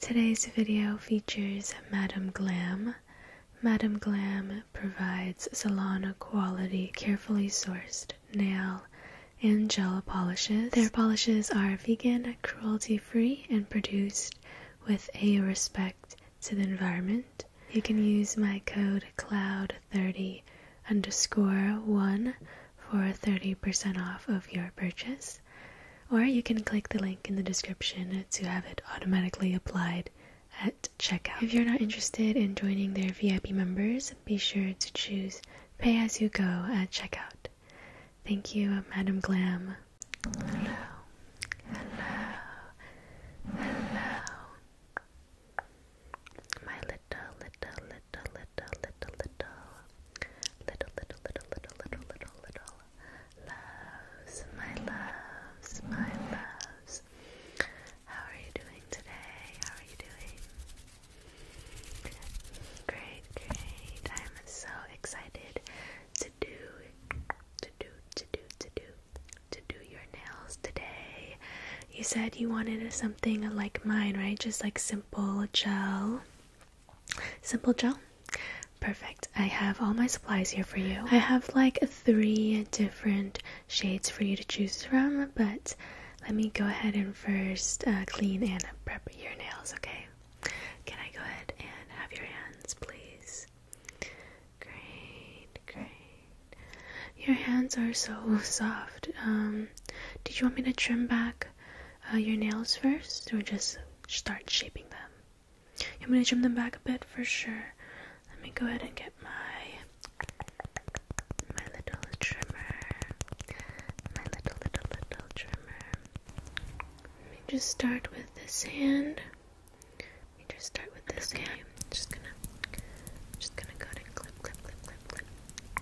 Today's video features Madam Glam. Madam Glam provides salon quality, carefully sourced nail and gel polishes. Their polishes are vegan, cruelty free, and produced with a respect to the environment. You can use my code CLOUD30 underscore 1 for 30% off of your purchase or you can click the link in the description to have it automatically applied at checkout. If you're not interested in joining their VIP members, be sure to choose pay as you go at checkout. Thank you, Madam Glam. Hello. Hello. Hello. My little, little, little, little, little, little Little, little, little, little, little, little, little loves, my loves, my loves. How are you doing today? How are you doing? Great, great. I'm so excited to do, to do, to do, to do, to do your nails today. You said you wanted something like mine, right? Just like simple gel. Simple gel? Perfect. I have all my supplies here for you. I have like three different shades for you to choose from, but let me go ahead and first uh, clean and prep your nails, okay? Can I go ahead and have your hands, please? Great, great. Your hands are so soft. Um, did you want me to trim back? uh, your nails first, or just start shaping them? You want me to trim them back a bit for sure. Let me go ahead and get my my little trimmer, my little little little trimmer. Let me just start with this hand. Let me just start with this okay. hand. I'm just gonna, I'm just gonna go ahead and clip, clip, clip, clip, clip.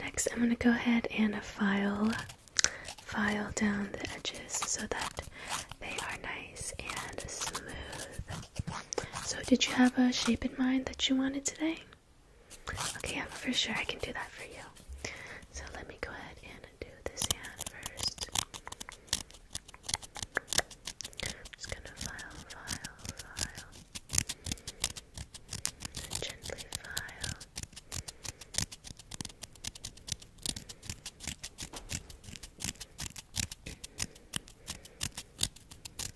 Next, I'm going to go ahead and file file down the edges so that they are nice and smooth. So, did you have a shape in mind that you wanted today? Okay, yeah, for sure, I can do that for you. So, let me go ahead and do this hand 1st just gonna file, file, file. Gently file.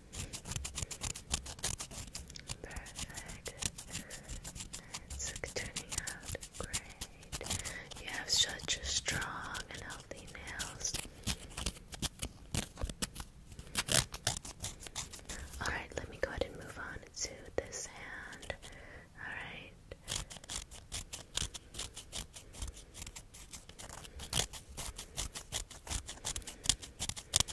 Perfect. It's turning out great. You have such a strong and healthy nails. Alright, let me go ahead and move on to this hand. Alright.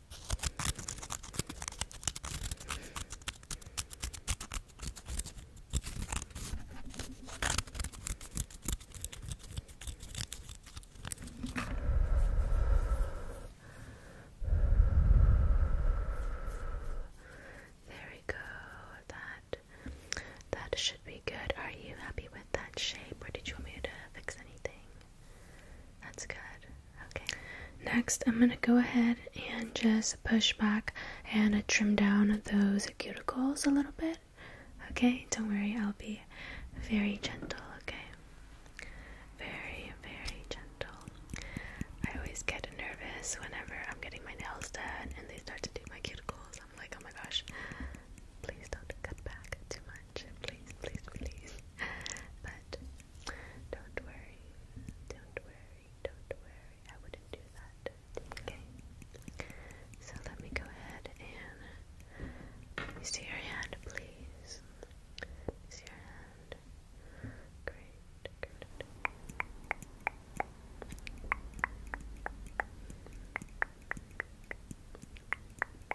there we That that should be good. Are you happy with that shape or did you want me to fix anything? That's good. Okay. Next, I'm going to go ahead and just push back and trim down those cuticles a little bit. Okay, don't worry, I'll be very gentle, okay? Very, very gentle. I always get nervous whenever I'm getting my nails done and they start to do my cuticles. I'm like, oh my gosh, please don't cut back too much. Please, please, please but don't worry, don't worry, don't worry. I wouldn't do that. Okay. So let me go ahead and see your hand, please. see your hand. Great. Good.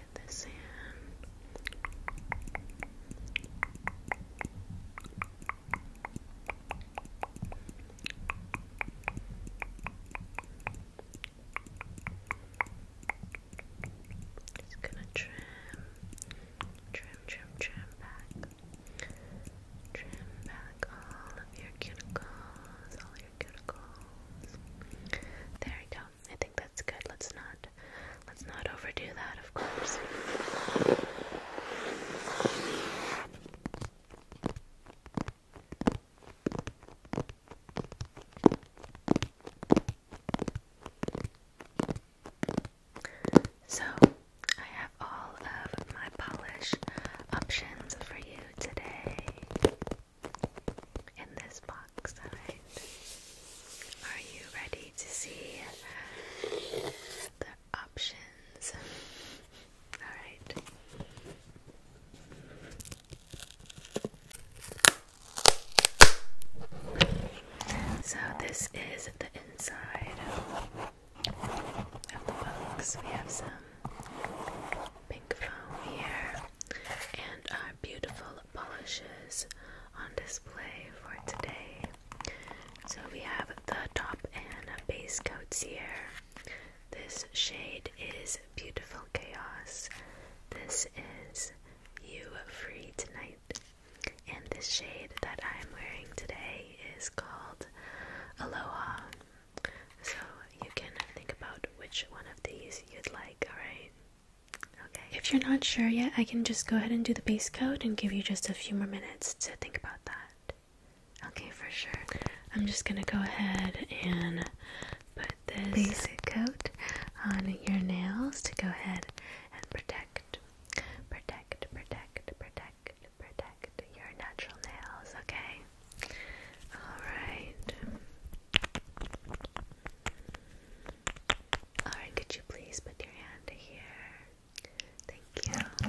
get this in. Just gonna trim, trim, trim, trim back. Trim back all of your cuticles, all your cuticles. There you go. I think that's good. Let's not let's not overdo that, of course. So, I have all of my polish options for you today in this box, Are you ready to see the options? Alright. So, this is the inside of the box. We have some pink foam here and our beautiful polishes on display for today. So we have the top and base coats here. This shade is Beautiful Chaos. This is You Free Tonight. And this shade that I'm wearing today is called Aloha. So you can think about which one of these you'd like, alright? Okay. If you're not sure yet, I can just go ahead and do the base coat and give you just a few more minutes to think about that. Okay, for sure. I'm just gonna go ahead and put this basic coat on your nails to go ahead and protect, protect, protect, protect, protect your natural nails, okay? Alright. Alright, could you please put your hand here? Thank you.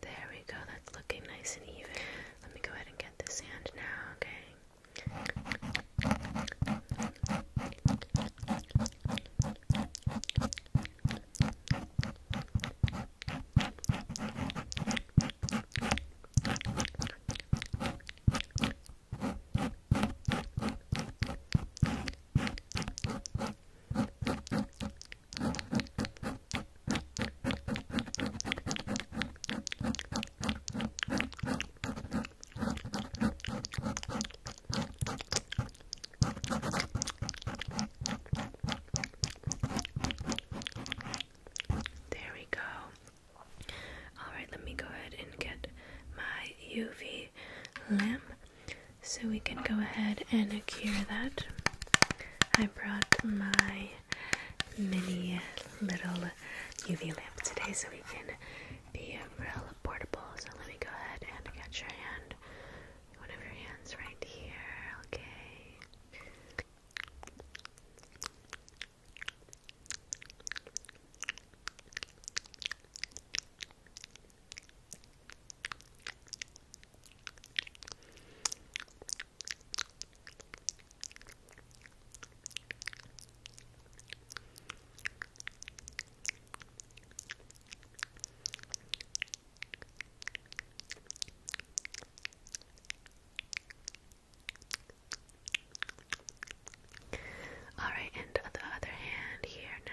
There we go, that's looking nice and even. Let me go ahead and get this hand now, okay? Okay, there we go. Alright, let me go ahead and get my UV lamp so we can go ahead and cure that. I brought my mini little UV lamp today so we can be real portable. So let me go ahead and get your hand. One of your hands right here, okay. All right, and the other hand here now.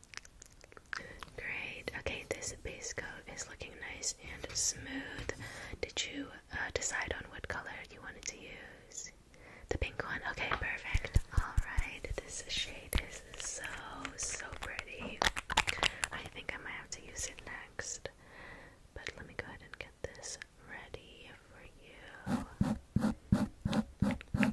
Great. Okay, this base coat is looking nice and smooth. Did you uh, decide on what color you wanted to use? The pink one. Okay, perfect. All right. This shade is so so pretty. I think I might have to use it next. But let me go ahead and get this ready for you.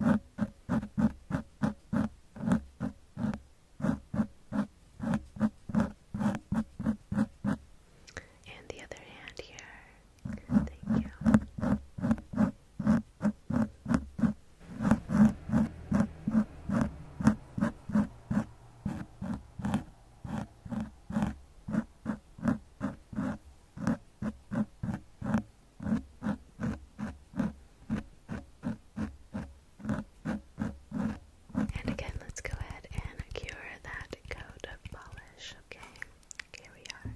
And the other hand here. Thank you. And again, let's go ahead and cure that coat of polish, okay? Here we are.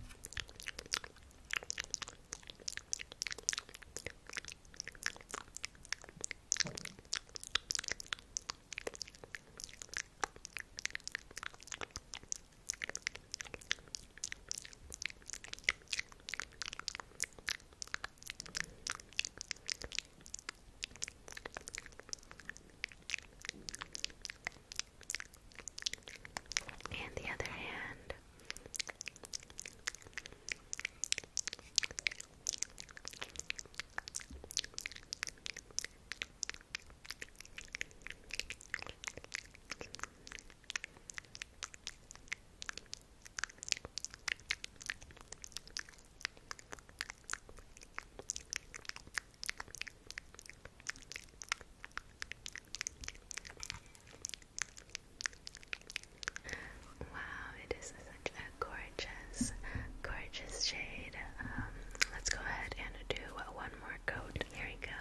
And the other hand. Wow, it is such a gorgeous, gorgeous shade. Um, let's go ahead and do one more coat. Here we go.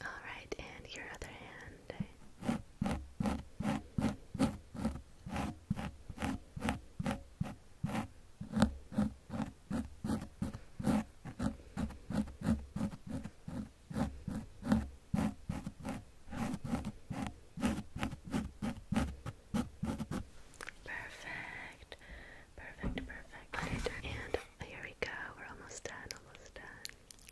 Alright, and your other hand. Perfect. Perfect, perfect. And here we go. We're almost done, almost done.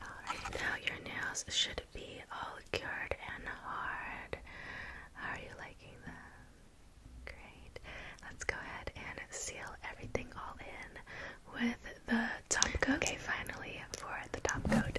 now your nails should be all cured and hard. How are you liking them? Great. Let's go ahead and seal everything all in with the top coat. Okay, finally for the top coat.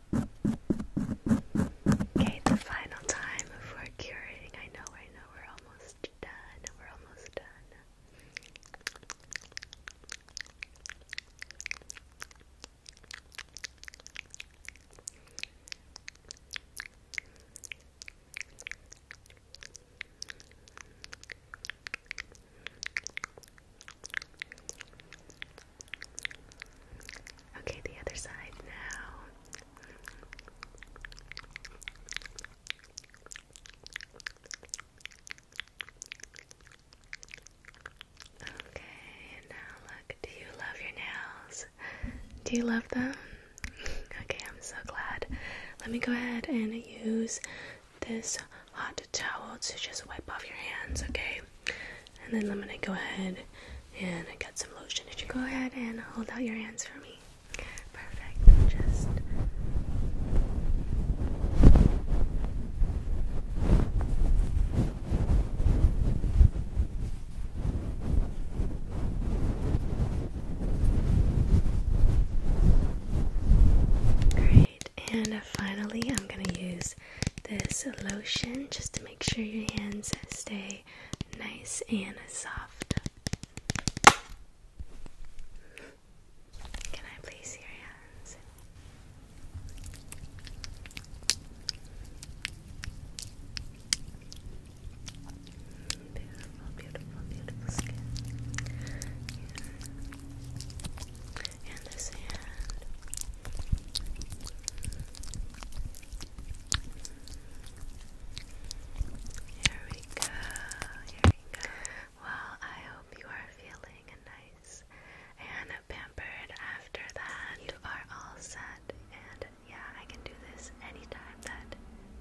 Okay, the final time for curing. I know, I know, we're almost done. We're almost done. Okay, the other side now. Okay, now look, do you love your nails? Do you love them? Okay, I'm so glad. Let me go ahead and use this hot towel to just wipe off your hands, okay? And then I'm gonna go ahead and get some lotion. Did go ahead and hold out your hands for me? Perfect. Just Great. And finally, I'm going to use this lotion just to make sure your hands stay nice and soft. Can I place your hands? Beautiful, beautiful, beautiful skin and this hand. Here we go. Here we go. Well, I hope you are feeling nice and pampered after that. You are all set, and yeah, I can do this anytime that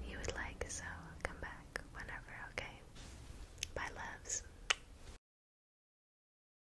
you would like, so come back whenever, okay? Bye, loves.